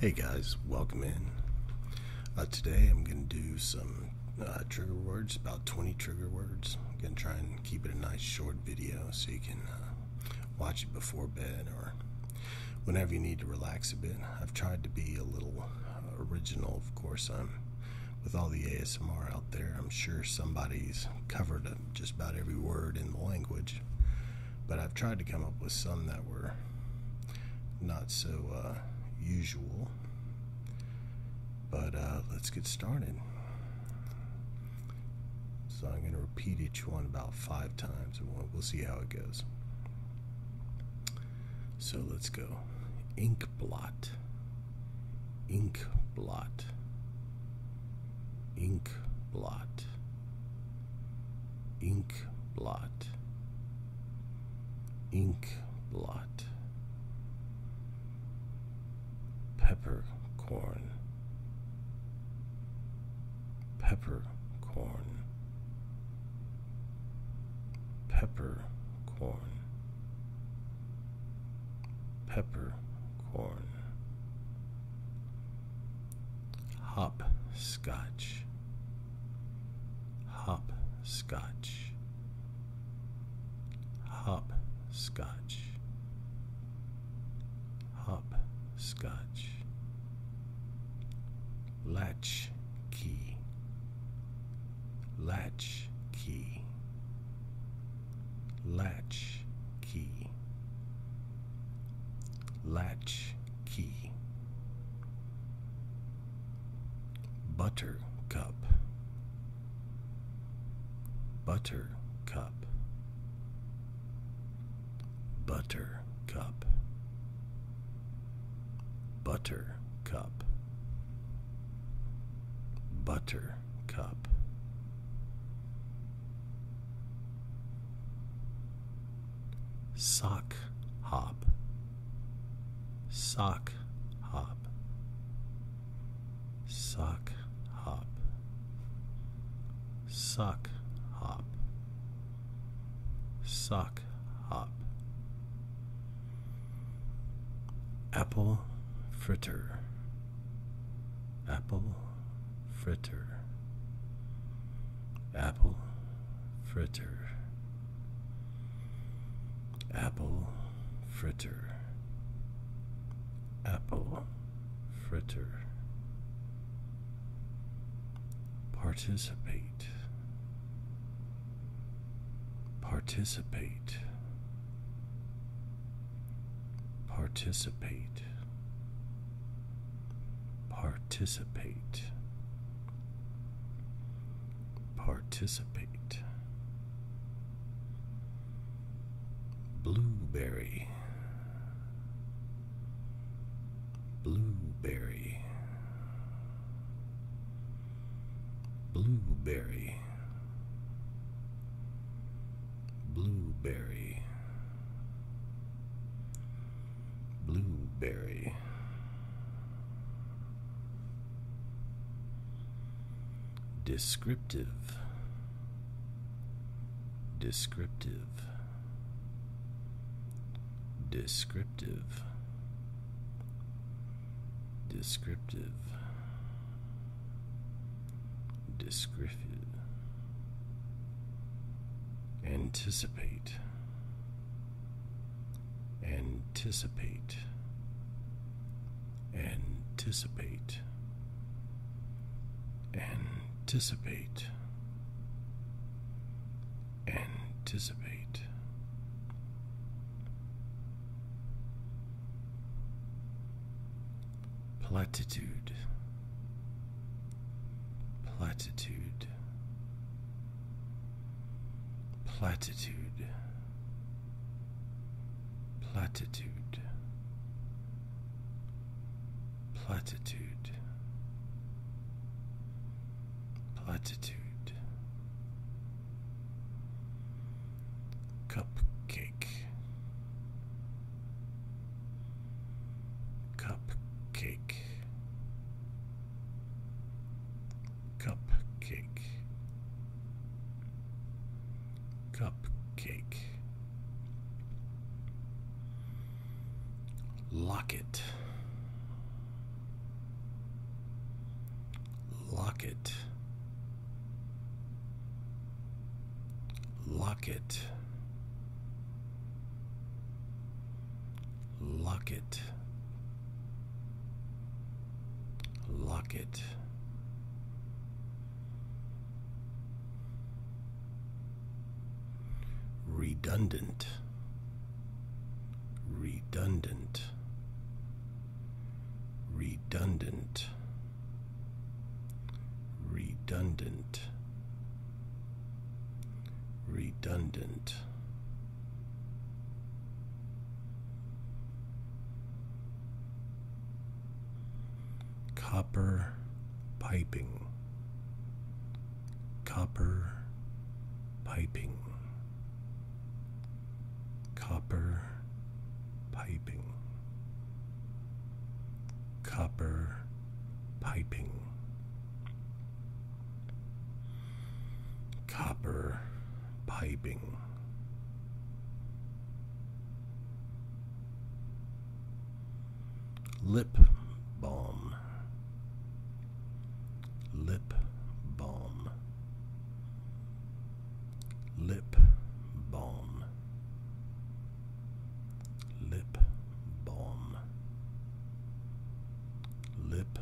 Hey guys, welcome in. Uh, today I'm going to do some uh, trigger words, about 20 trigger words. I'm going to try and keep it a nice short video so you can uh, watch it before bed or whenever you need to relax a bit. I've tried to be a little original, of course. with all the ASMR out there, I'm sure somebody's covered just about every word in the language but I've tried to come up with some that were not so uh, usual. But uh, let's get started. So I'm going to repeat each one about five times, and we'll see how it goes. So let's go. Ink blot. Ink blot. Ink blot ink blot ink blot Pepper Pepper corn. corn. Pepper corn. Pepper corn hop scotch hop scotch hop scotch hop scotch latch key latch key latch key Latch key. Buttercup. Buttercup. Buttercup. Buttercup. Buttercup sock hop, sock hop, sock hop, sock hop, sock hop, apple fritter, apple fritter, apple fritter, apple fritter, apple fritter, participate, participate, participate. Participate. Participate. Blueberry. Blueberry. Blueberry. Blueberry. Blueberry. Descriptive. Descriptive. Descriptive. Descriptive. Descriptive. Anticipate. Anticipate. Anticipate. Anticipate. Anticipate. Platitude. Platitude platitude, platitude, platitude, platitude, cupcake, cupcake, Cupcake. Cupcake. Locket. Locket. Locket. Lock it. Lock it. Redundant. Redundant. Redundant. Redundant redundant. Copper piping, copper piping, copper piping, copper piping. Copper piping. Lip balm. Lip balm. Lip balm. Lip balm. Lip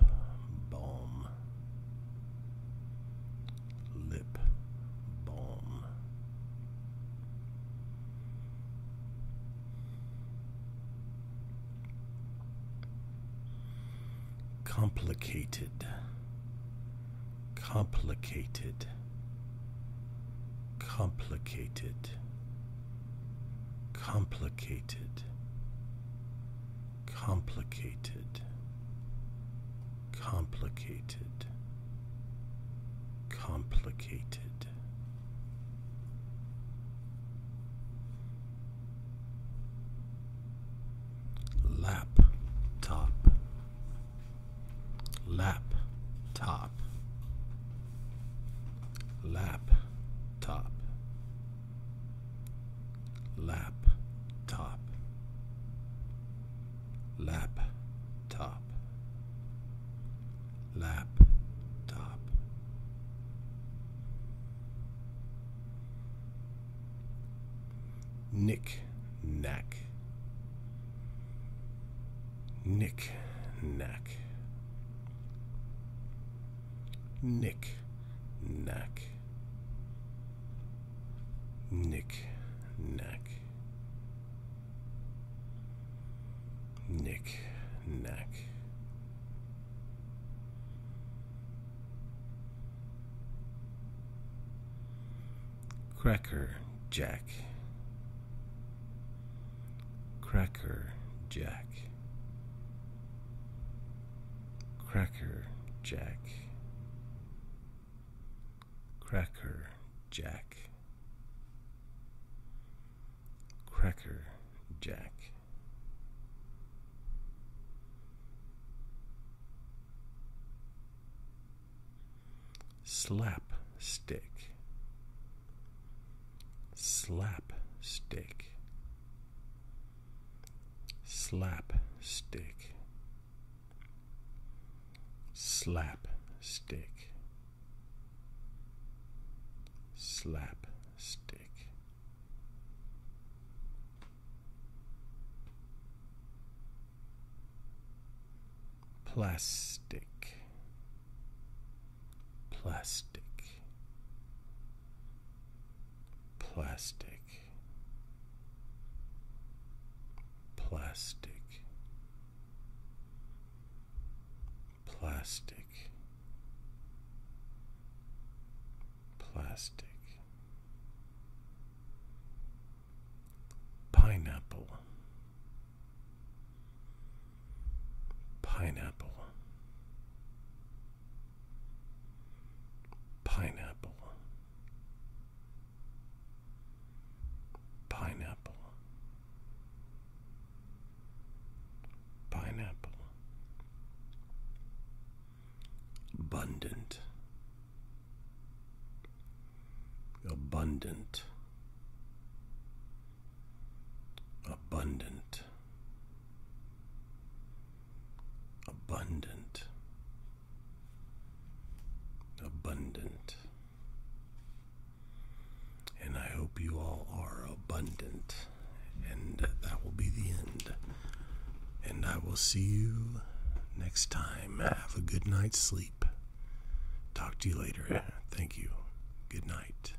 balm. Lip balm. Complicated. Complicated. Complicated complicated, complicated, complicated, complicated. Laptop, laptop, laptop lap top lap top lap top nick knack nick knack nick knack, knick, knack, knick, knack. Cracker Jack. Cracker Jack. Cracker Jack. Cracker Jack. Cracker Jack. Slap stick. Slap stick. Slap Slap stick. stick. Slap stick. plastic plastic plastic, plastic, plastic, plastic, pineapple, pineapple pineapple, pineapple, pineapple, abundant, abundant. Abundant, abundant, abundant. And I hope you all are abundant. And that will be the end. And I will see you next time. Have a good night's sleep. Talk to you later. Thank you. Good night.